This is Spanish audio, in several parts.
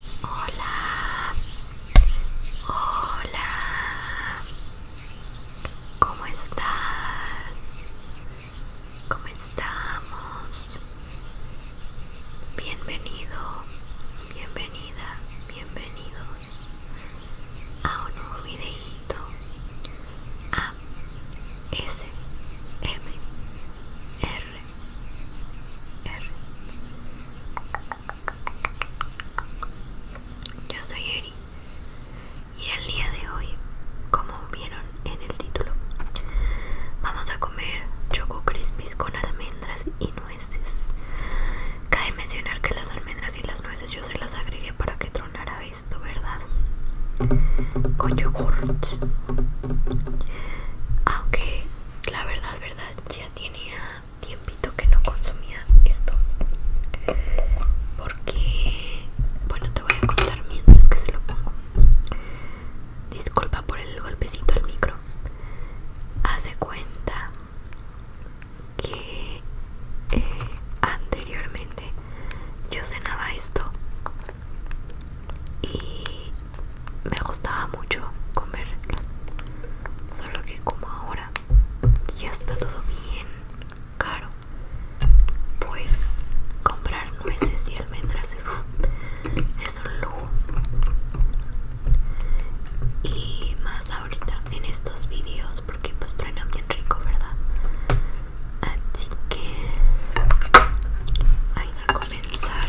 Hola, hola, ¿cómo estás? ¿Cómo estamos? Bienvenido, bienvenida, bienvenidos a un nuevo videíto a ah, S R. Yo soy Eri y el día de hoy, como vieron en el título, vamos a comer Choco Crispies con almendras y nueces. Cabe mencionar que las almendras y las nueces yo se las agregué para que tronara esto, ¿verdad? Con yogurt. Aunque la verdad, verdad ya tenía tiempito que no consumía esto porque bueno te voy a contar mientras que se lo pongo disculpa por el golpecito al micro hace cuenta que eh, anteriormente yo cenaba esto y me gustaba mucho comer solo que como ahora ya está todo bien caro, pues comprar nueces y almendras es un lujo. Y más ahorita en estos vídeos porque pues traen bien rico, ¿verdad? Así que hay que comenzar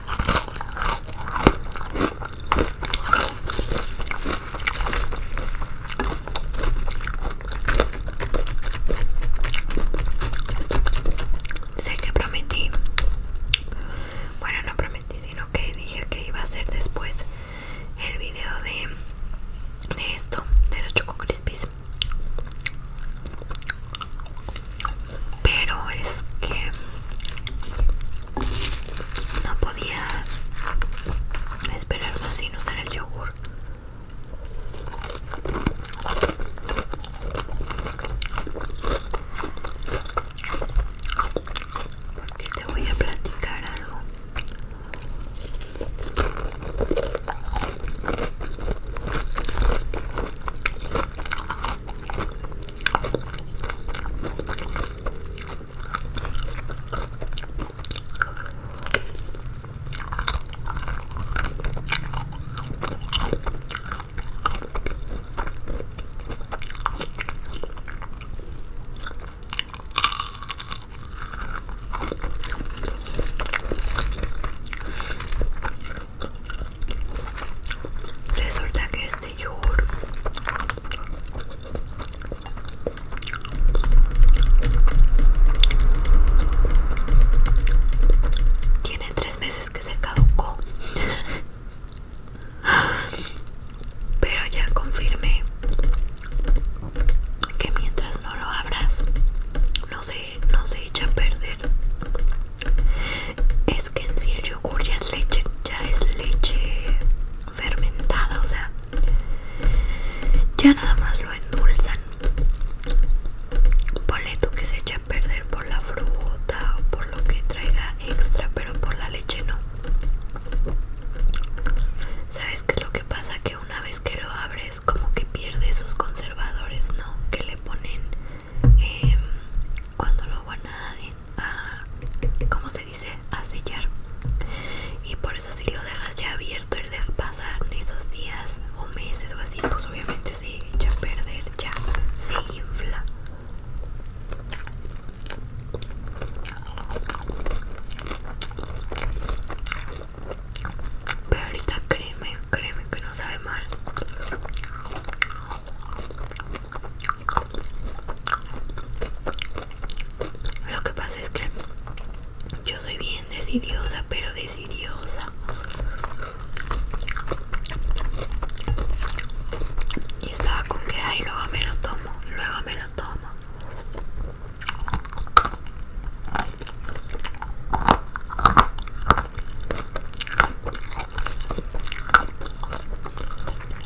Sé que prometí, bueno no prometí sino que dije que iba a hacer después el video de, de esto, de los Choco Crispies Pero es que no podía esperar más sin usar el yogur. Porque te voy a platicar algo. Resulta que de este yogur tiene tres meses que se caducó pero ya confirmé que mientras no lo abras no se, no se echa a perder es que en sí el yogur ya es leche ya es leche fermentada, o sea, ya nada más lo endulzan. Ponle que se echa a perder por la fruta o por lo que traiga extra, pero por la leche no. ¿Sabes qué es lo que pasa? Que una vez que lo abres, como que pierde sus conservadores, ¿no? Que le ponen em, cuando lo van a a ¿cómo se dice? a sellar y por eso si lo dejas ya abierto El de pasar esos días o meses o así pues obviamente se echa a perder ya se infla pero ahorita créeme, créeme que no sabe mal lo que pasa es que yo soy bien decidiosa, pero decidiosa. Y estaba con que, ay, luego me lo tomo, luego me lo tomo.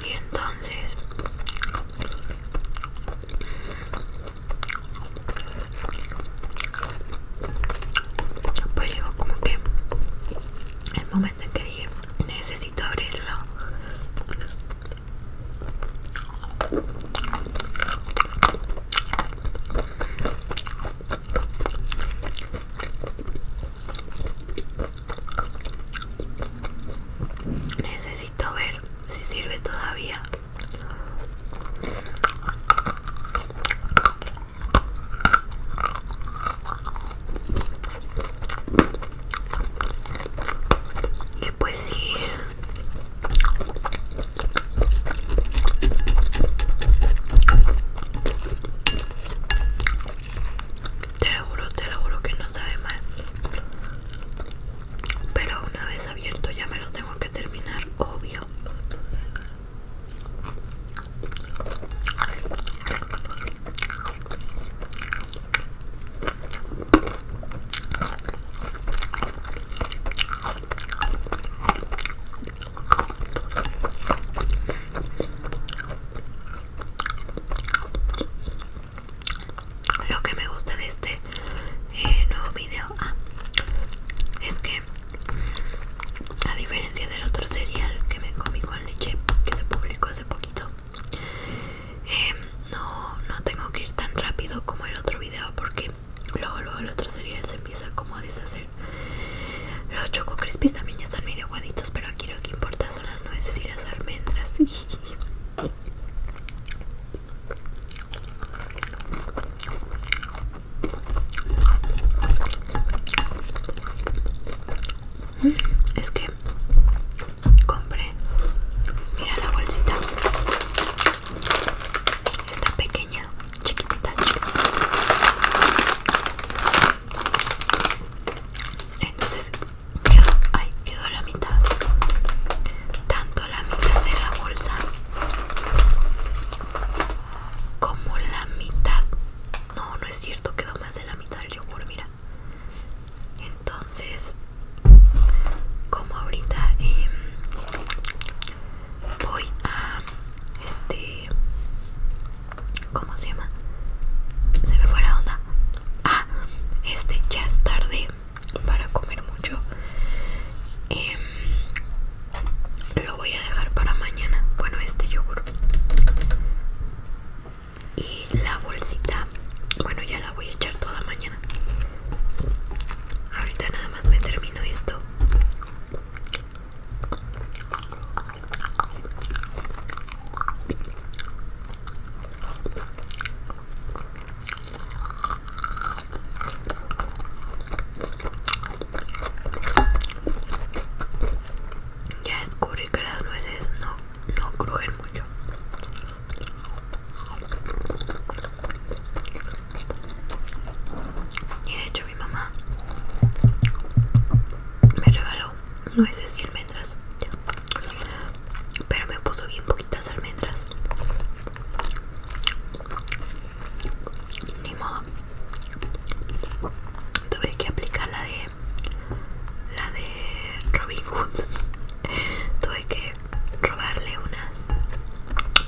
Y entonces pues llegó como que el momento en que dije, necesito abrirlo. Necesito ver si sirve todavía. Y pues sí. Te lo juro, te lo juro que no sabe mal. Pero una vez abierto ya me lo tengo que terminar, obvio. Lo que me gusta de este eh, nuevo video Ah, es que a diferencia del otro cereal que me comí con leche que se publicó hace poquito eh, no, tengo que ir tan rápido como el otro video porque luego luego el otro cereal se empieza como a deshacer los choco también ya están medio guaditos pero aquí lo que importa son las nueces y las almendras Mm, es que compré, mira la bolsita, está pequeña, chiquitita, entonces quedó, ay, quedó a la mitad, Tanto la mitad de la bolsa como la mitad no no es cierto quedó más de la mitad del yogur mira entonces como ahorita em, voy a este cómo se llama se me fue la onda ah este ya es tarde para comer mucho eh, lo voy a dejar para mañana bueno este yogur y la bolsita bueno ya la voy a echar toda mañana ahorita nada más me termino esto ya descubrí que las nueces no, crujen mucho. Y de hecho mi mamá me regaló nueces y almendras. Pero me puso bien poquitas almendras. Ni modo. Tuve que aplicar la de. La de Robin Hood. Tuve que robarle unas.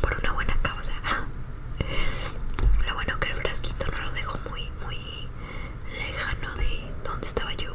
Por una buena causa. Lo bueno que el frasquito no lo dejo muy, muy lejano de donde estaba yo.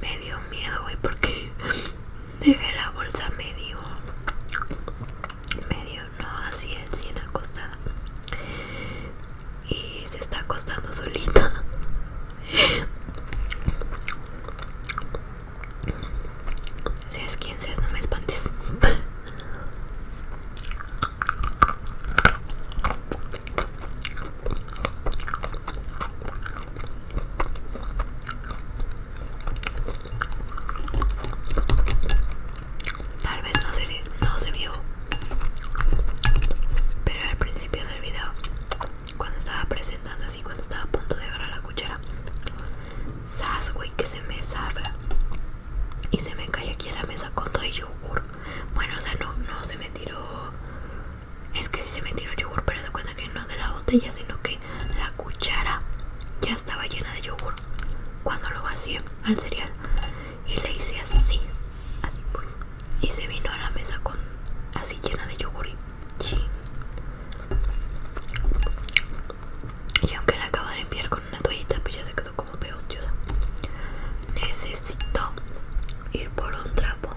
me dio miedo, güey, porque dejé la bolsa medio, medio, no, así el acostada. Y se está acostando solita. Seas quien seas, no me espantes. Tal vez no se, vio, pero al principio del video, cuando estaba presentando así, cuando estaba a punto de agarrar la cuchara, sas, que se me sabla y se me cae aquí a la mesa con todo el yogur. Bueno, o sea, no se me tiró es que si se me tiró yogur, pero de cuenta que no de la botella, sino que la cuchara ya estaba llena de yogur cuando lo vacié al cereal. Y le hice así, así, y se vino a la mesa con así llena de yogur. Y, y aunque la acabo de enviar con una toallita, pues ya se quedó como pegostiosa. Necesito ir por un trapo.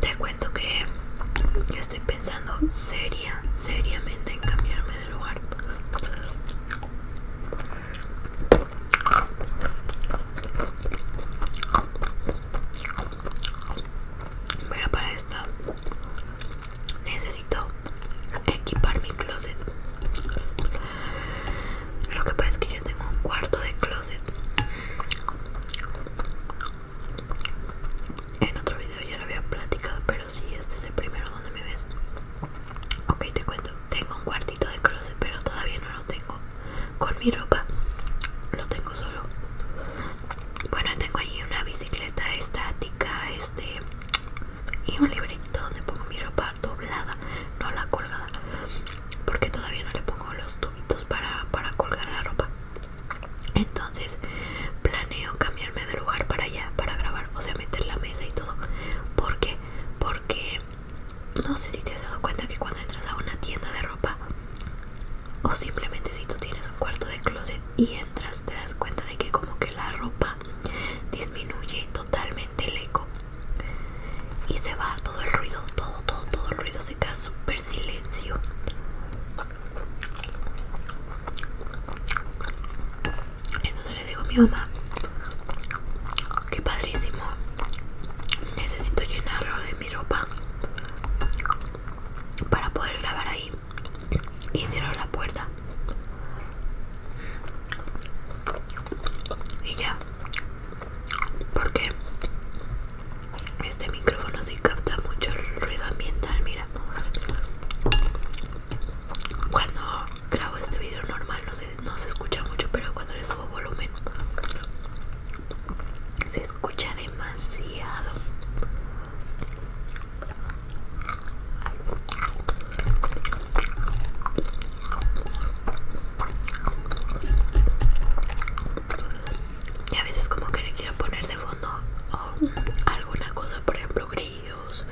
Te cuento que estoy pensando seriamente en cambiarme de lugar. Pero para esto necesito equipar mi closet. Lo que pasa es que yo tengo un cuarto de closet. En otro video ya lo había platicado, pero sí, este es el primero donde me ves. Ok, te cuento. Tengo un cuartito de closet, pero todavía no lo tengo con mi ropa. Lo tengo solo. Bueno, tengo allí una bicicleta estática, este, y un librito donde pongo mi ropa doblada, no la colgada porque todavía no le pongo los tubitos para, colgar la ropa entonces planeo cambiarme de lugar para allá para grabar o sea meter la mesa y todo porque porque no sé si te has dado cuenta que cuando entras a una tienda de ropa o simplemente si tú tienes un cuarto de closet y entras te das cuenta de que como que la ropa disminuye totalmente el eco y se va todo el ruido, todo, todo, todo el ruido se queda súper silencio. Entonces le digo a mi mamá, que padrísimo, necesito llenarlo de mi ropa para poder grabar ahí y cierro la puerta y ya porque este micrófono sí capta mucho el ruido ambiental mira cuando grabo este video normal no se, no se escucha mucho pero cuando le subo volumen se escucha demasiado y a veces como que le quiero poner de fondo oh, alguna cosa, por ejemplo grillos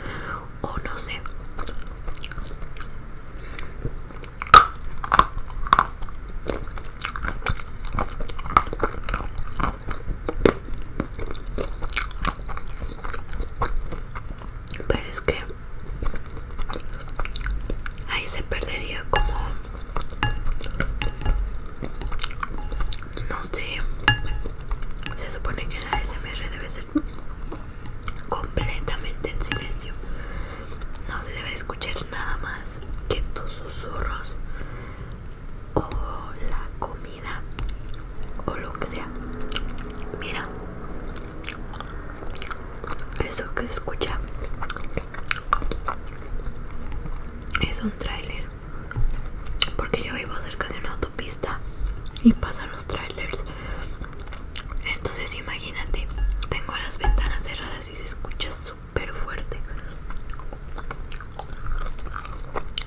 o no sé. Pero es que Ahí se perdería como... No sé. Se supone que la SMR debe ser completamente en silencio. No se debe escuchar nada más que tus susurros o la comida o lo que sea. Mira, eso que se escucha es un tráiler. Porque yo vivo cerca de una autopista y pasan los trailers. Entonces imagínate, tengo las ventanas cerradas y se escucha súper fuerte.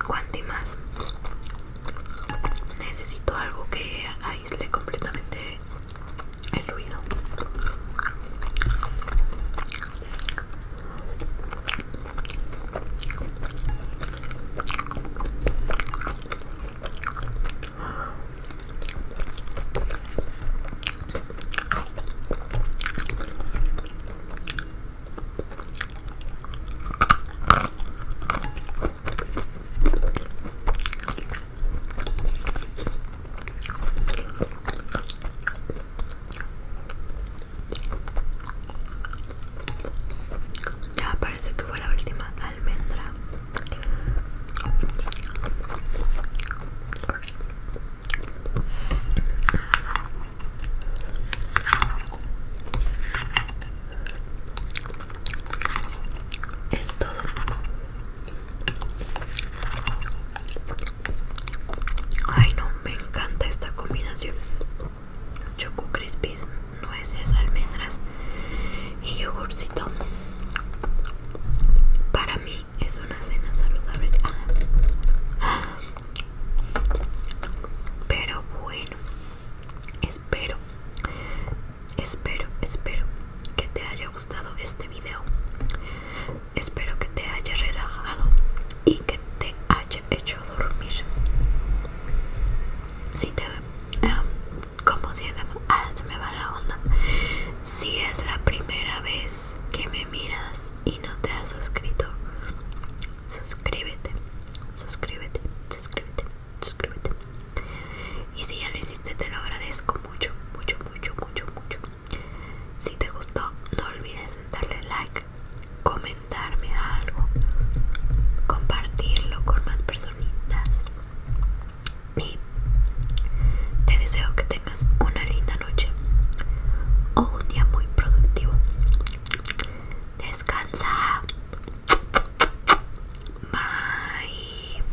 ¿Cuánto más. Necesito algo que aísle completamente el ruido ya parece que fue la última almendra. Es todo. Ay no, me encanta esta combinación. Choco crispies, nueces, almendras y yogurcito. Para mí es una cena saludable. Pero bueno, espero Espero, espero que te haya gustado este video. Espero que te haya relajado y que te haya hecho dormir. Si te... como si... Ah, me va la onda. Si es la primera vez que me miras y no te has suscrito, suscríbete, suscríbete, suscríbete, suscríbete. Y si ya lo hiciste, te lo agradezco mucho, mucho, mucho, mucho, mucho. Si te gustó, no olvides darle like, comentarme algo, compartirlo con más personitas. Y te deseo que tengas una linda noche o un día muy productivo. Descansa. Bye.